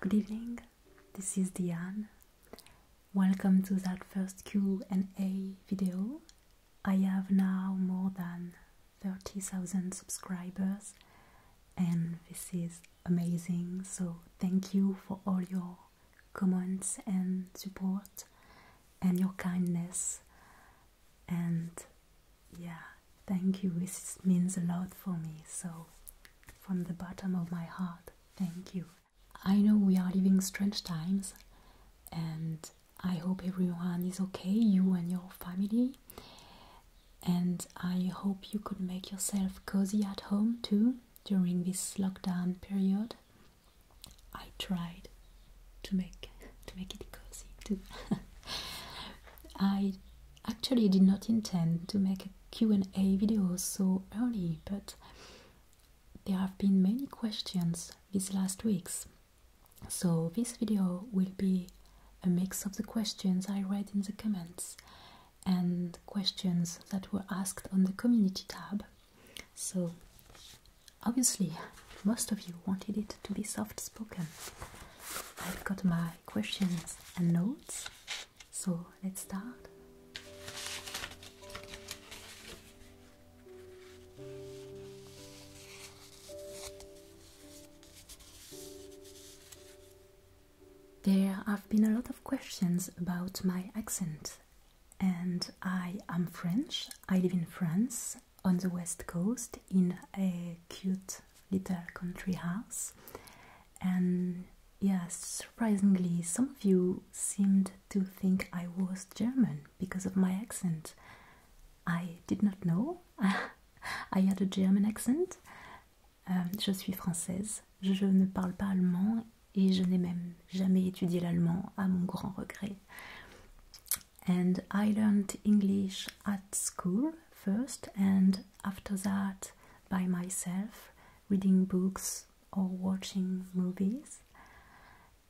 Good evening. This is Diane. Welcome to that first Q&A video. I have now more than 30,000 subscribers and this is amazing. So thank you for all your comments and support and your kindness and yeah, thank you. This means a lot for me. So, from the bottom of my heart, thank you. I know we are living strange times, and I hope everyone is okay, you and your family. And I hope you could make yourself cozy at home too during this lockdown period. I tried to make to make it cozy too. I actually did not intend to make a Q&A video so early, but there have been many questions these last weeks. So this video will be a mix of the questions I read in the comments and questions that were asked on the community tab. So Obviously, most of you wanted it to be soft spoken. I've got my questions and notes, so let's start. There have been a lot of questions about my accent, and I am French. I live in France on the west coast in a cute little country house. And yes, surprisingly, some of you seemed to think I was German because of my accent. I did not know I had a German accent. Euh, je suis française, je ne parle pas allemand et je n'ai même jamais étudié l'allemand à mon grand regret. and I learned English at school first, and after that by myself, reading books or watching movies.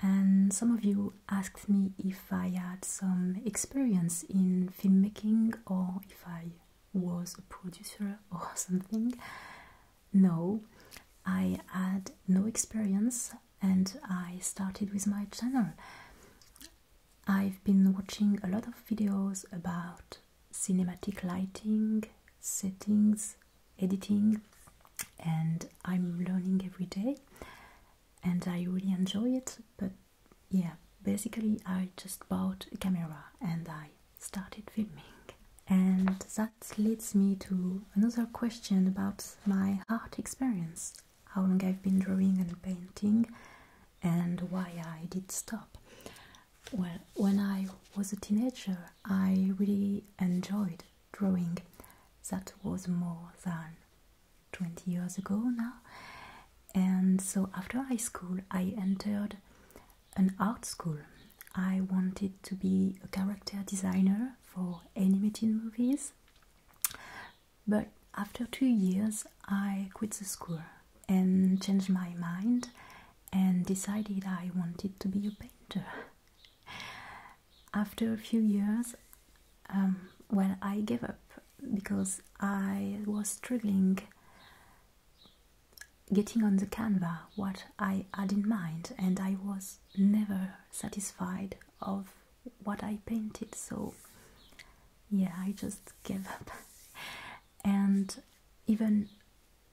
And some of you asked me if I had some experience in filmmaking or if I was a producer or something. No, I had no experience, and I started with my channel. I've been watching a lot of videos about cinematic lighting, settings, editing, and I'm learning every day and I really enjoy it. But yeah, basically, I just bought a camera and I started filming, and that leads me to another question about my art experience how long I've been drawing and painting and why I did stop. Well, when I was a teenager, I really enjoyed drawing. That was more than 20 years ago now. And so after high school, I entered an art school. I wanted to be a character designer for animated movies. But after two years, I quit the school and changed my mind and decided I wanted to be a painter. After a few years, um, well, I gave up because I was struggling getting on the canvas what I had in mind, and I was never satisfied of what I painted, so yeah, I just gave up. and even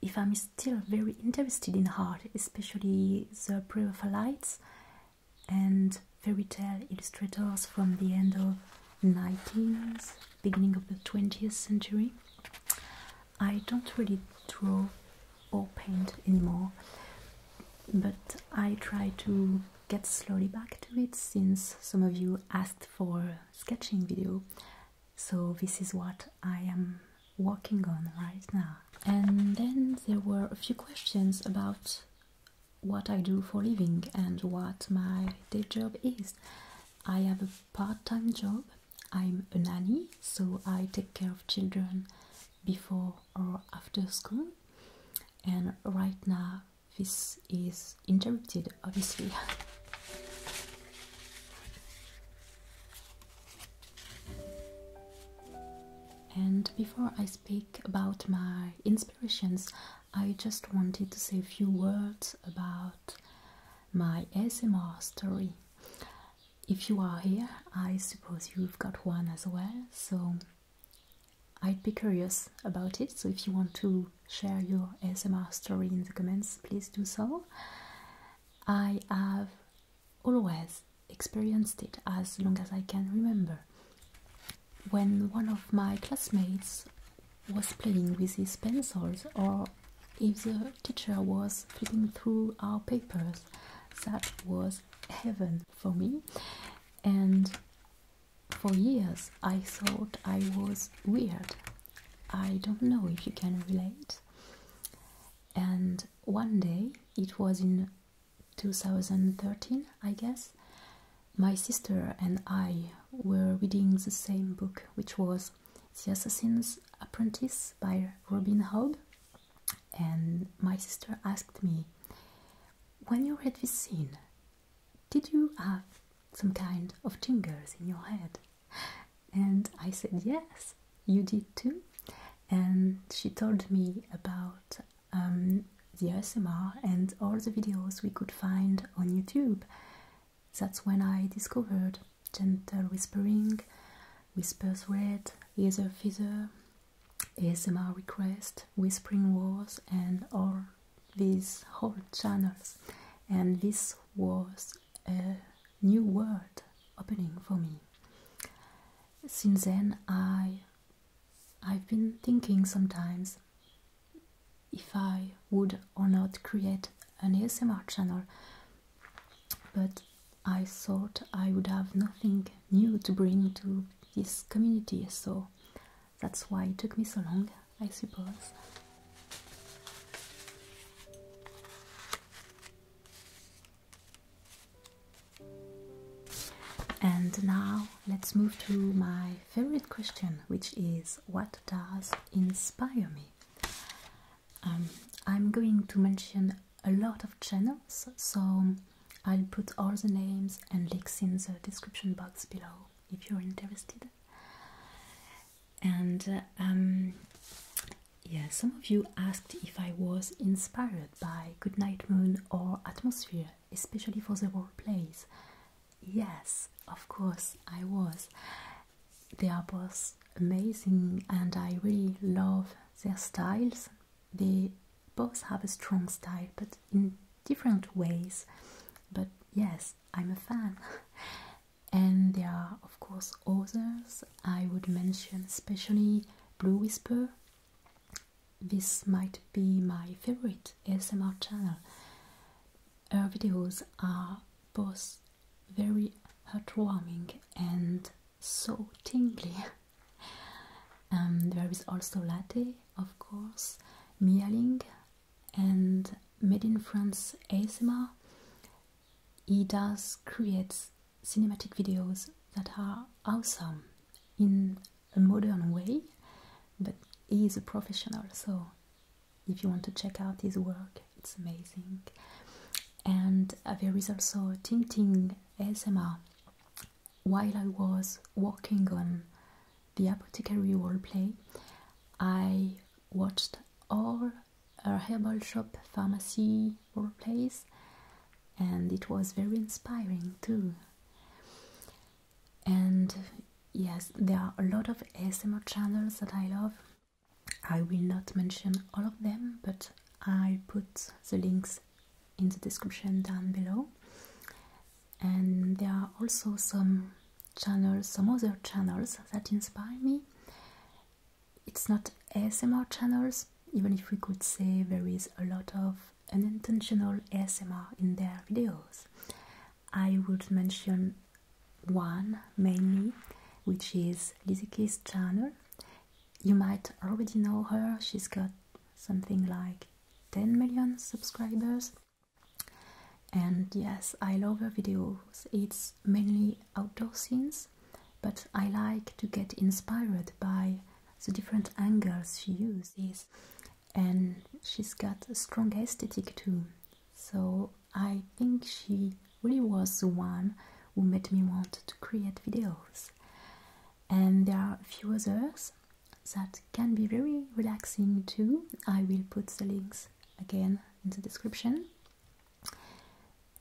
if I'm still very interested in art, especially the pre-rapha Brevophylites and fairy tale illustrators from the end of 19th, beginning of the 20th century, I don't really draw or paint anymore. But I try to get slowly back to it since some of you asked for sketching video. So this is what I am working on right now. And then there were a few questions about what I do for living and what my day job is. I have a part-time job I'm a nanny, so I take care of children before or after school. And right now, this is interrupted, obviously. And before I speak about my inspirations, I just wanted to say a few words about my ASMR story if you are here, I suppose you've got one as well, so I'd be curious about it. So, if you want to share your ASMR story in the comments, please do so. I have always experienced it as long as I can remember. When one of my classmates was playing with his pencils or if the teacher was flipping through our papers, that was heaven for me. And for years, I thought I was weird. I don't know if you can relate. And one day, it was in 2013, I guess, my sister and I were reading the same book, which was the Assassin's Apprentice by Robin Hobb, And my sister asked me, when you read this scene, did you have some kind of tingles in your head? And I said, yes, you did too. And she told me about um, the ASMR and all the videos we could find on YouTube. That's when I discovered gentle whispering, whisper thread, ether feather, ASMR request, whispering wars, and all these whole channels. And this was a new world opening for me. Since then, I I've been thinking sometimes if I would or not create an ASMR channel but I thought I would have nothing new to bring to this community, so that's why it took me so long, I suppose. And now let's move to my favorite question, which is what does inspire me? Um, I'm going to mention a lot of channels, so I'll put all the names and links in the description box below if you're interested. And uh, um, yeah, some of you asked if I was inspired by Goodnight Moon or Atmosphere, especially for the role plays. Yes, of course, I was they are both amazing and I really love their styles. They both have a strong style, but in different ways. But yes, I'm a fan. and there are, of course, others I would mention, especially Blue Whisper. This might be my favorite ASMR channel. Her videos are both very heartwarming and so tingly. Um, there is also latte, of course, mealing, and made in France ASMR. He does creates cinematic videos that are awesome in a modern way, but he is a professional, so if you want to check out his work, it's amazing. And uh, there is also Ting S M R. While I was working on the apothecary role play, I watched all herbal shop pharmacy role plays, and it was very inspiring too. And yes, there are a lot of S M R channels that I love. I will not mention all of them, but I'll put the links in the description down below. And there are also some channels, some other channels that inspire me. It's not ASMR channels, even if we could say there is a lot of unintentional ASMR in their videos. I would mention one mainly, which is Lizzie's channel. You might already know her, she's got something like 10 million subscribers. And yes, I love her videos. It's mainly outdoor scenes, but I like to get inspired by the different angles she uses. And she's got a strong aesthetic too. So I think she really was the one who made me want to create videos. And there are a few others that can be very relaxing too. I will put the links again in the description.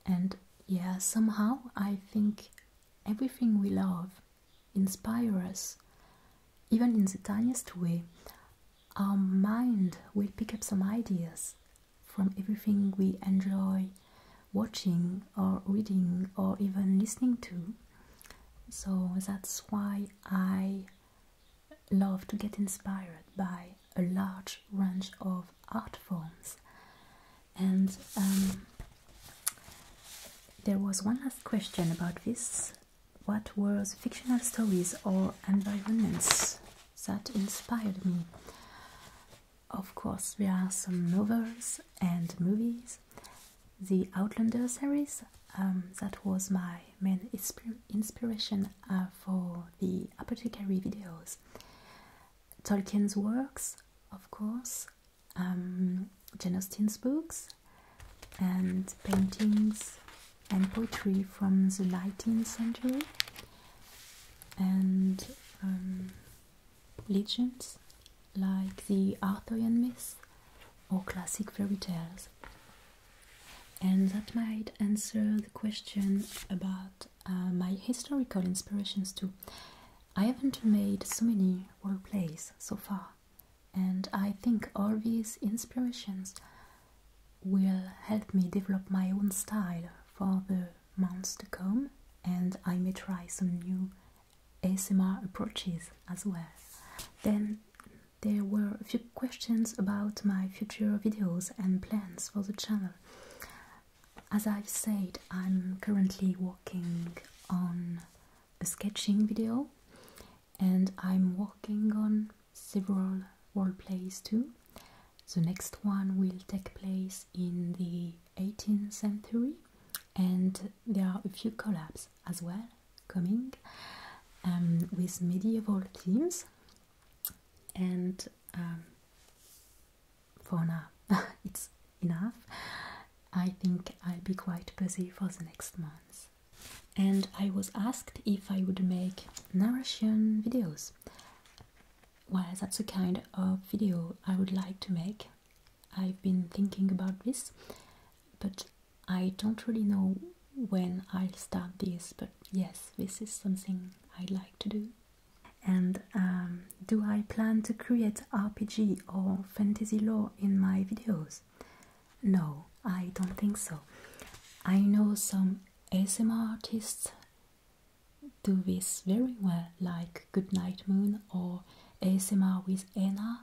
And yeah, somehow I think everything we love inspires us even in the tiniest way, our mind will pick up some ideas from everything we enjoy watching or reading or even listening to. So that's why I love to get inspired by a large range of art forms. And um, there was one last question about this what were fictional stories or environments that inspired me. Of course, there are some novels and movies. The Outlander series, um, that was my main inspiration uh, for the apothecary videos. Tolkien's works, of course, um, Jane Austen's books, and paintings and poetry from the 19th century and um, legends like the Arthurian myths or classic fairy tales. And that might answer the question about uh, my historical inspirations too. I haven't made so many role plays so far, and I think all these inspirations will help me develop my own style for the months to come, and I may try some new ASMR approaches as well. Then there were a few questions about my future videos and plans for the channel. As I've said, I'm currently working on a sketching video and I'm working on several role plays too. The next one will take place in the 18th century, and there are a few collabs as well coming um, with medieval themes. And um, for now, it's enough. I think I'll be quite busy for the next month. And I was asked if I would make narration videos. Well, that's the kind of video I would like to make. I've been thinking about this, but I don't really know when I'll start this. But yes, this is something I'd like to do. And um, do I plan to create RPG or fantasy lore in my videos? No, I don't think so. I know some ASMR artists do this very well, like Goodnight Moon or ASMR with Anna,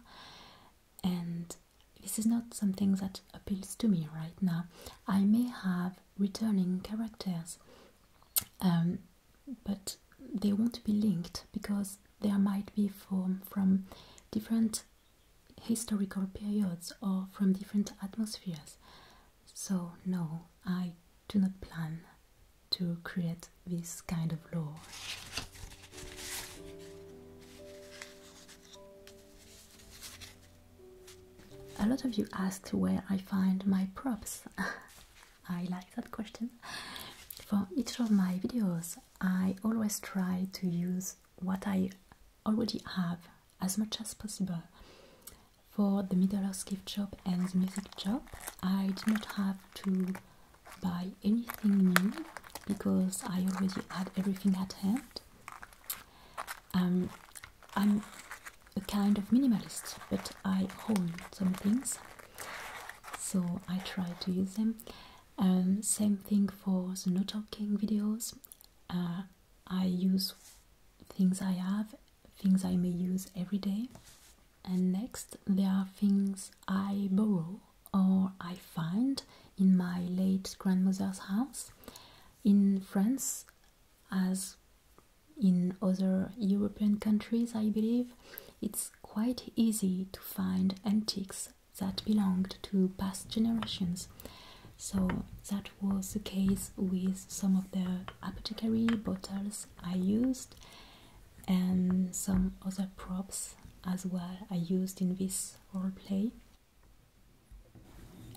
and this is not something that appeals to me right now. I may have returning characters, um, but they won't be linked because there might be from from different historical periods or from different atmospheres. So, no, I do not plan to create this kind of lore. A lot of you asked where I find my props. I like that question. For each of my videos, I always try to use what I already have as much as possible. For the Middle Earth gift shop and the music shop, I did not have to buy anything new because I already had everything at hand. Um, I'm a kind of minimalist, but I own some things, so I try to use them. Um, same thing for the no talking videos. Uh, I use things I have, things I may use every day. And next, there are things I borrow or I find in my late grandmother's house in France, as in other European countries, I believe. It's quite easy to find antiques that belonged to past generations. So that was the case with some of the apothecary bottles I used and some other props as well I used in this role play.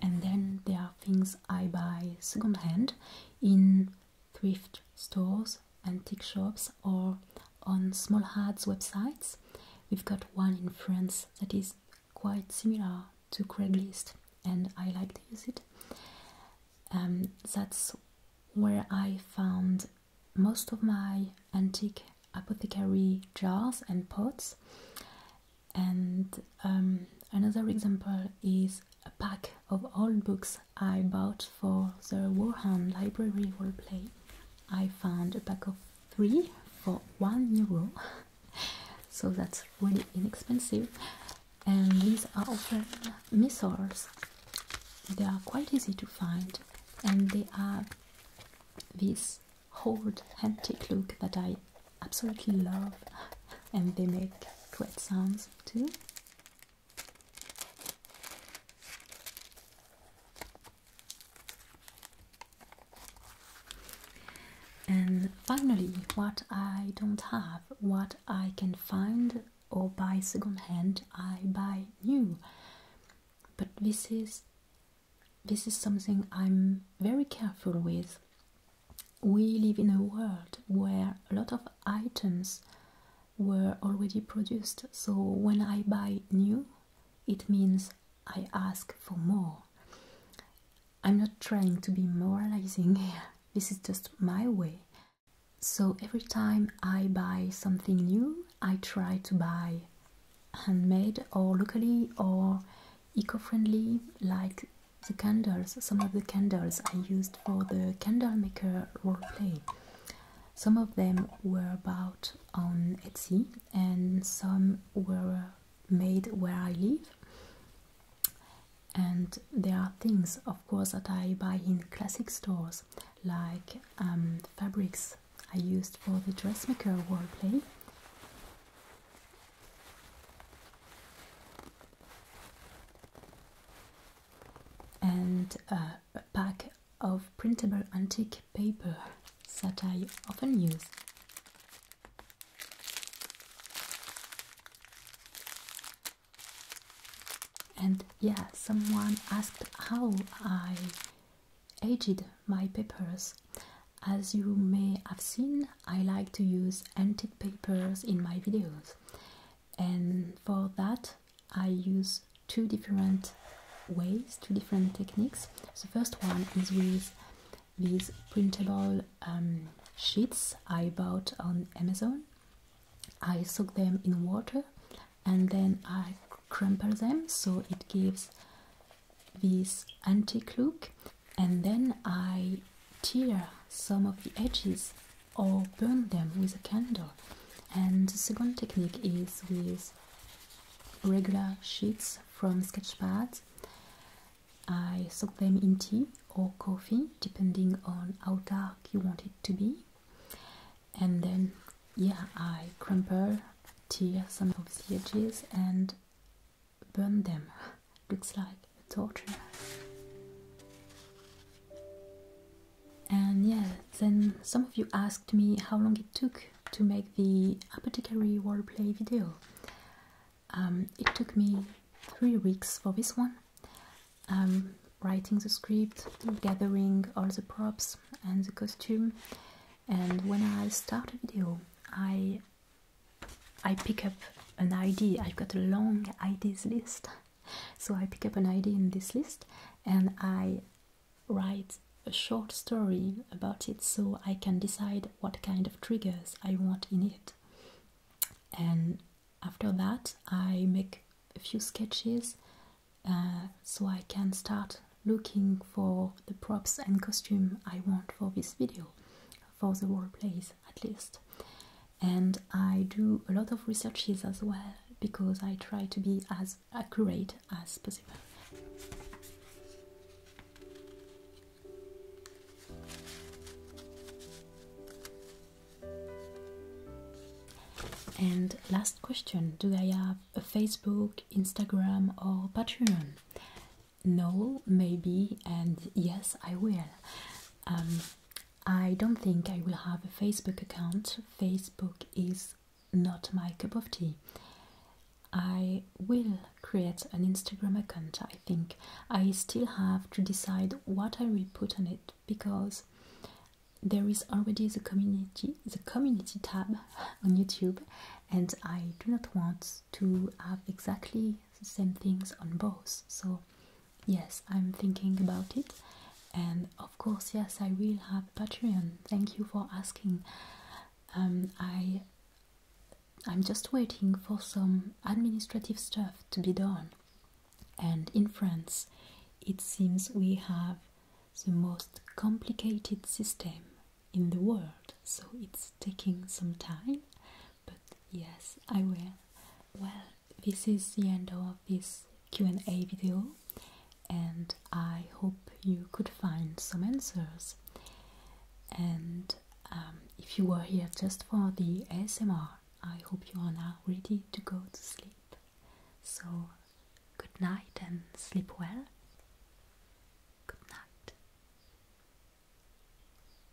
And then there are things I buy secondhand in thrift stores antique shops or on small ads websites. We've got one in France that is quite similar to Craigslist, and I like to use it. Um, that's where I found most of my antique apothecary jars and pots. And um, another example is a pack of old books I bought for the Warhound Library roleplay. I found a pack of three for one euro, so that's really inexpensive. And these are also missiles. they are quite easy to find, and they have this old antique look that I absolutely love, and they make great sounds too. And finally, what I don't have, what I can find or buy second hand, I buy new. But this is this is something I'm very careful with. We live in a world where a lot of items were already produced. So when I buy new, it means I ask for more. I'm not trying to be moralizing here, this is just my way. So every time I buy something new, I try to buy handmade or locally or eco-friendly like the candles some of the candles i used for the candle maker role play some of them were about on Etsy, and some were made where I live. And there are things, of course, that I buy in classic stores, like um, fabrics I used for the dressmaker role play. And uh, pack of printable antique paper that I often use. And yeah, someone asked how I aged my papers. As you may have seen, I like to use antique papers in my videos, and for that, I use two different ways, two different techniques. The first one is with these printable um, sheets I bought on Amazon. I soak them in water and then I crumple them so it gives this antique look and then I tear some of the edges or burn them with a candle. And the second technique is with regular sheets from sketch pads. I soak them in tea or coffee, depending on how dark you want it to be. And then, yeah, I crumple, tear some of the edges, and burn them. Looks like a torture. And yeah, then some of you asked me how long it took to make the apothecary roleplay video. Um, it took me three weeks for this one. Um, writing the script, gathering all the props and the costume. And when I start a video, I I pick up an idea. I've got a long ideas list so I pick up an idea in this list and I write a short story about it so I can decide what kind of triggers I want in it. And after that, I make a few sketches uh, so I can start looking for the props and costume I want for this video, for the role plays at least and I do a lot of researches as well because I try to be as accurate as possible. And last question Do I have a Facebook, Instagram, or Patreon? No, maybe, and yes, I will. Um, I don't think I will have a Facebook account. Facebook is not my cup of tea. I will create an Instagram account, I think. I still have to decide what I will put on it because there is already the community the community tab on YouTube and I do not want to have exactly the same things on both. So yes, I'm thinking about it. And of course, yes, I will have Patreon. Thank you for asking. Um, I I'm just waiting for some administrative stuff to be done. And in France, it seems we have the most complicated system in the world, so it's taking some time but yes, I will. Well, this is the end of this Q&A video and I hope you could find some answers. And um, if you were here just for the ASMR, I hope you are now ready to go to sleep. So, good night and sleep well. Good night